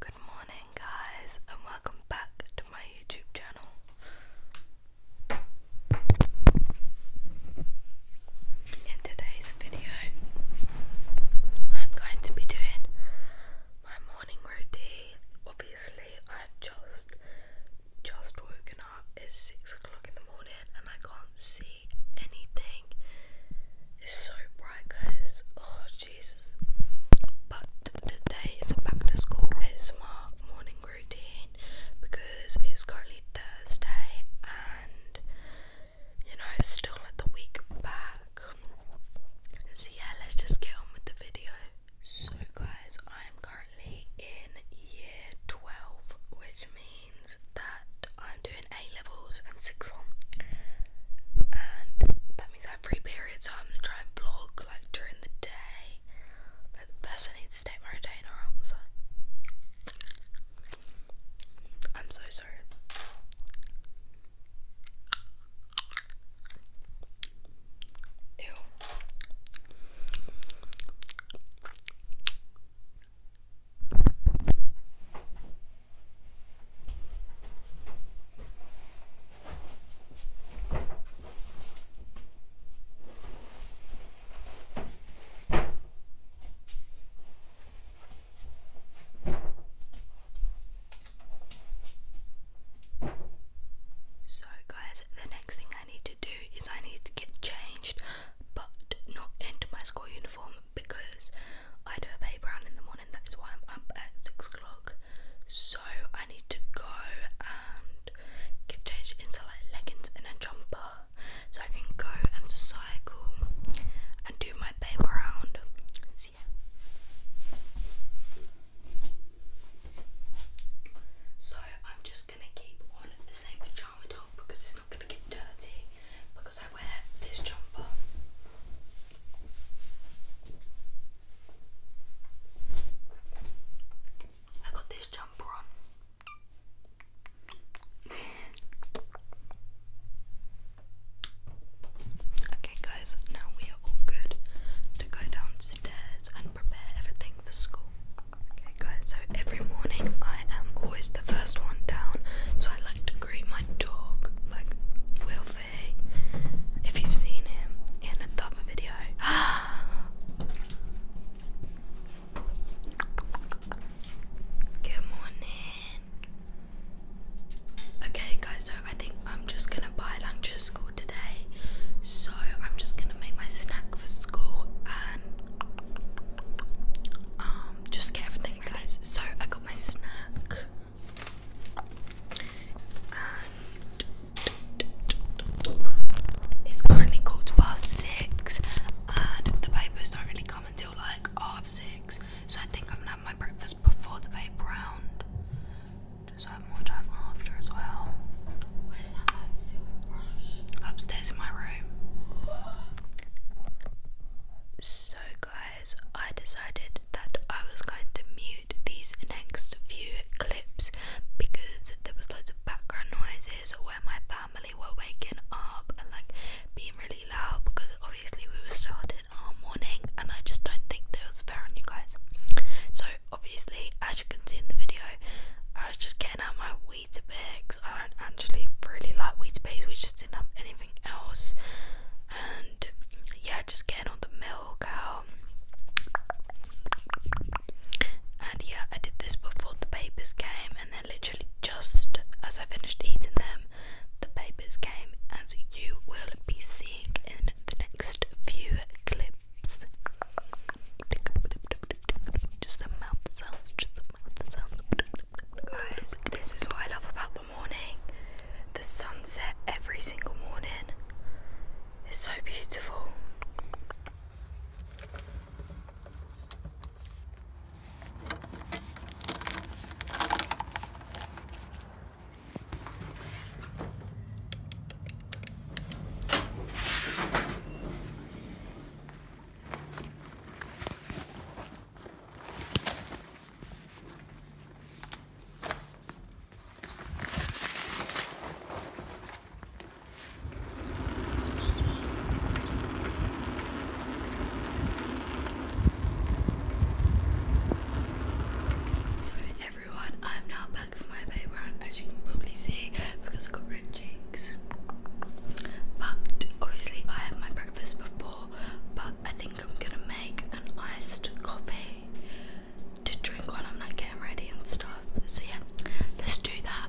Good morning, guys, and welcome back to my YouTube channel. In today's video, I'm going to be doing my morning routine. Obviously, I've just just woken up. It's six o'clock in the morning, and I can't see anything. It's so bright, guys. Oh, Jesus. But today is a back to school ASMR morning routine because it's currently Thursday and you know it's still at the week back. So yeah, let's just get on with the video. So guys, I am currently in year 12, which means that I'm doing A levels and sixth form, and that means I have free periods. So I'm gonna try and vlog like during the day. But first, I need to take my retainer out. So I'm so sorry. Ew. So, guys, the next thing I need to do is I need to get changed, but not into my school uniform because I do a paper round in the morning. That is why I'm up at six o'clock. So I need to go and get changed into like leggings and a jumper, so I can go and cycle and do my paper round. so, I'm just gonna keep on the same pajama top because it's not gonna get dirty because I wear this jumper. I got this jumper on. okay, guys, now we are all good to go downstairs and prepare everything for school. Okay, guys, so every morning I am always the first one down, so I like to go great. My dog, like Wilfie, if you've seen him in the other video. Good morning. Okay, guys, so I think I'm just gonna buy lunch at school today. So I'm just gonna make my snack for school and um just get everything ready. Guys, so I got my snack it's currently quarter past six, and the papers don't really come until like half six. So I think I'm gonna have my breakfast before the paper round, just so have more time after as well. Where's that like, silver brush? Upstairs in my room. So, guys. I decided that I was going to mute these next few clips because there was loads of background noises where my family were waking up and like being really loud because obviously we were starting our morning and I just don't think that was fair on you guys. So obviously as you can see in the video I was just getting out my Weetabix. I don't actually really like Weetabix, we just didn't have anything else and yeah, just getting all the milk out. And yeah, I did this before the papers came, and then literally just as I finished eating them, the papers came, as you will be seeing in the next few clips. Just the mouth sounds, just Guys, this is what I love about the morning. The sunset every single morning is so beautiful. So everyone, I'm now back from my paper round, as you can probably see, because I've got red cheeks. But obviously I had my breakfast before but I think I'm gonna make an iced coffee to drink while I'm like getting ready and stuff. So yeah, let's do that.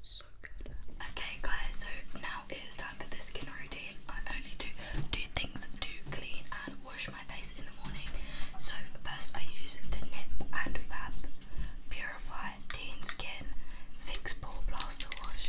So Okay, guys, so now it is time for the skin routine. I only do two things to clean and wash my face in the morning. So, first, I use the Nip and Fab Purify Teen Skin Fix Pore Blaster Wash.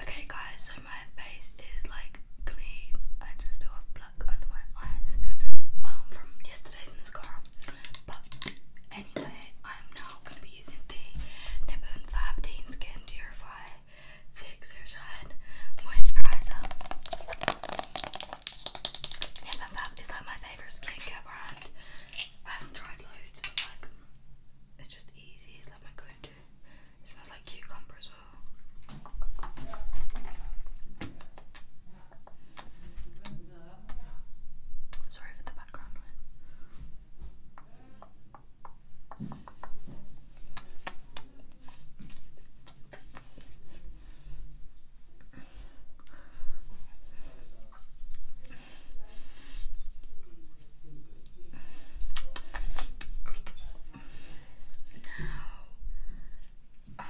Okay, guys, so my face is like clean. I just still have black under my eyes um, from yesterday's mascara. But anyway, I'm now going to be using the Nip and Fab Teen Skin Purify Thick Zero Shine Moisturizer. Nip is like my favourite skincare brand. I haven't tried loads, but like it's just easy. It's my go-to. It smells like cucumber as well. Sorry for the background noise. So now, um,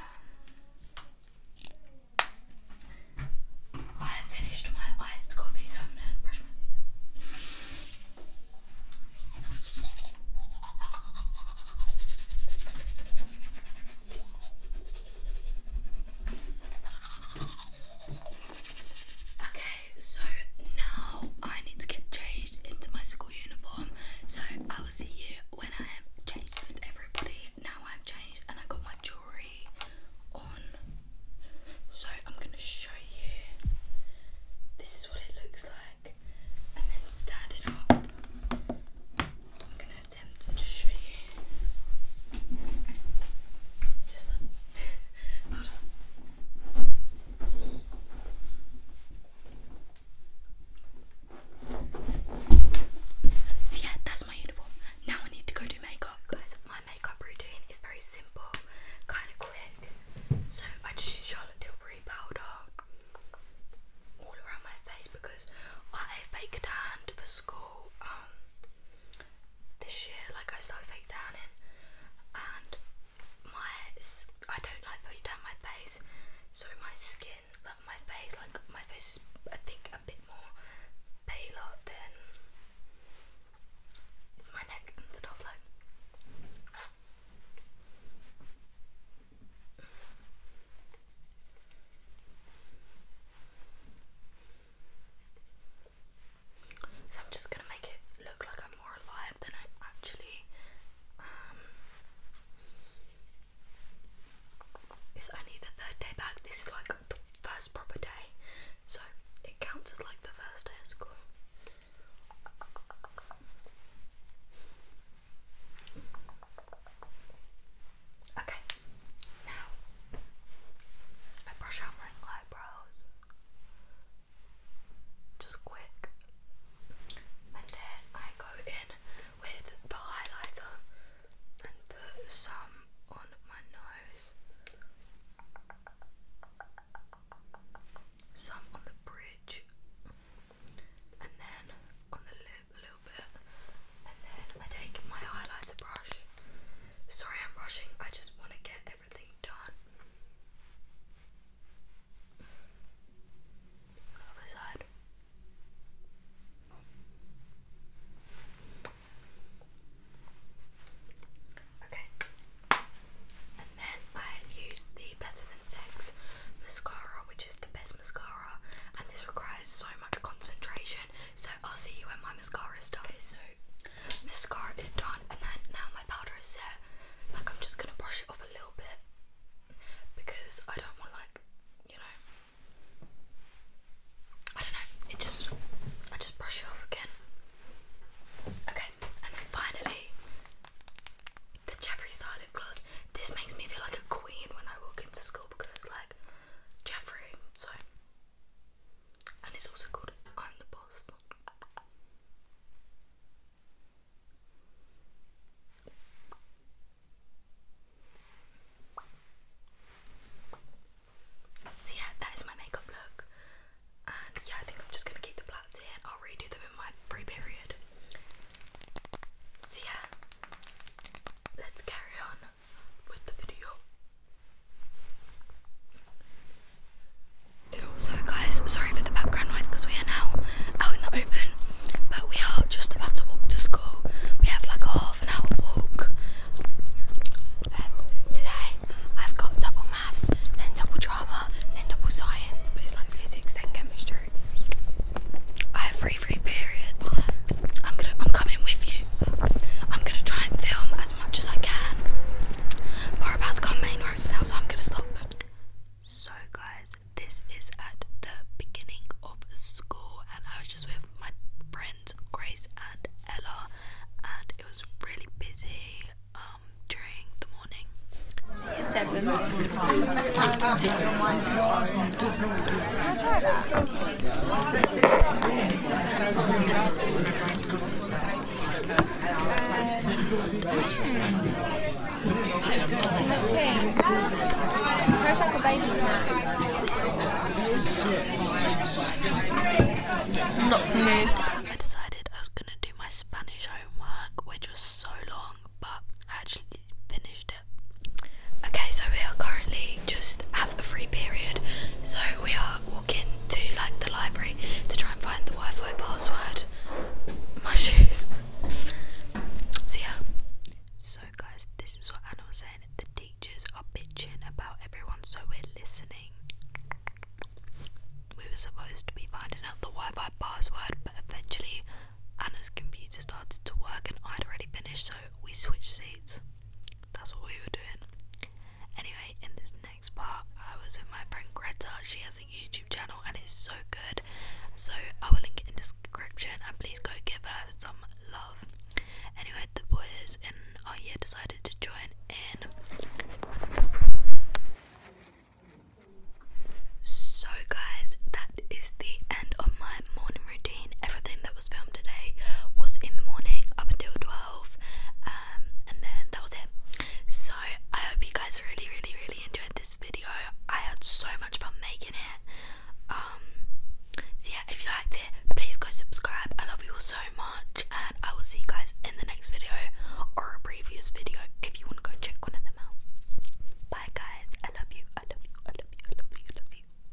I have finished my iced coffee, so I'm gonna brush my teeth. Okay, so now I need to get changed into my school uniform. So I will see you when I am changed with everybody. Now I'm changed and I got my jewellery on. So I'm gonna show you this is what it looks like and then stand it up. I'm gonna attempt to show you. Just so yeah, that's my uniform. Now I need to go do makeup, guys. My makeup routine is very simple, kind of quick. So I just use Charlotte Tilbury powder all around my face because I have fake tanned for school. Um, this year, like I started fake tanning, and my I don't like putting down my face, so my skin, like my face, like my face is I think a bit more paler than my neck and stuff like. So I'm just gonna make it look like I'm more alive than I actually um, It's only the third day back. This is like the first proper day, so it counts as like the first day of school. Okay, now, I brush out my eyebrows. Just quick. And then I go in with the highlighter and put some on my nose, some on the bridge, and then on the lip a little bit. And then I take my highlighter brush Sorry, I'm rushing. I just want to get everything done. Other side. Okay. And then I used the Better Than Sex mascara, which is the best mascara, and this requires so much concentration so I'll see you when my mascara is done. Okay, so mascara is done, and then now my powder is set. Like I'm just gonna brush it off a little bit because I don't want like you know I don't know. It just I just brush it off again. Okay, and then finally the Jeffree Star gloss. This makes me feel like a queen when I walk into school because it's like Jeffree. So and it's also called I'm the Boss. So yeah, that is my makeup look, and yeah, I think I'm just gonna keep the plaits here. I'll redo them in my free period. So yeah, let's carry on. So guys, sorry for the background noise because we are now out in the open, but we are just about to walk to school. We have like a half an hour walk. Um, today I've got double maths, then double drama, then double science, but it's like physics, then chemistry. I have free free periods. I'm gonna I'm coming with you. I'm gonna try and film as much as I can. we're about to go on main roads now, so I'm gonna stop. So, guys, this is at the beginning of school, and I was just with my friends Grace and Ella, and it was really busy um, during the morning. Seven. Not for me. I decided I was going to do my Spanish homework, which was so long, but I actually finished it. Okay, so we are currently just have a free period, so we are walking to like the library to try and find the Wi-Fi password. My shoes. So yeah. So guys, this is what Anna was saying. The teachers are bitching about everyone, so we're listening. We were supposed to be finding out the Wi-Fi password, but eventually Anna's computer started to work and I'd already finished, so we switched seats that's what we were doing. Anyway, in this next part, I was with my friend Greta. She has a YouTube channel and it's so good. So I will link it in description and please go give her some love. Anyway, the boys in our year decided to join in. So, guys, that is the end of my morning routine. Everything that was filmed today was in the morning up until 12 um, and then that was it so I hope you guys really really really enjoyed this video I had so much fun making it um, so yeah if you liked it please go subscribe I love you all so much and I will see you guys in the next video or a previous video if you want to go check one of them out bye guys I love you I love you I love you I love you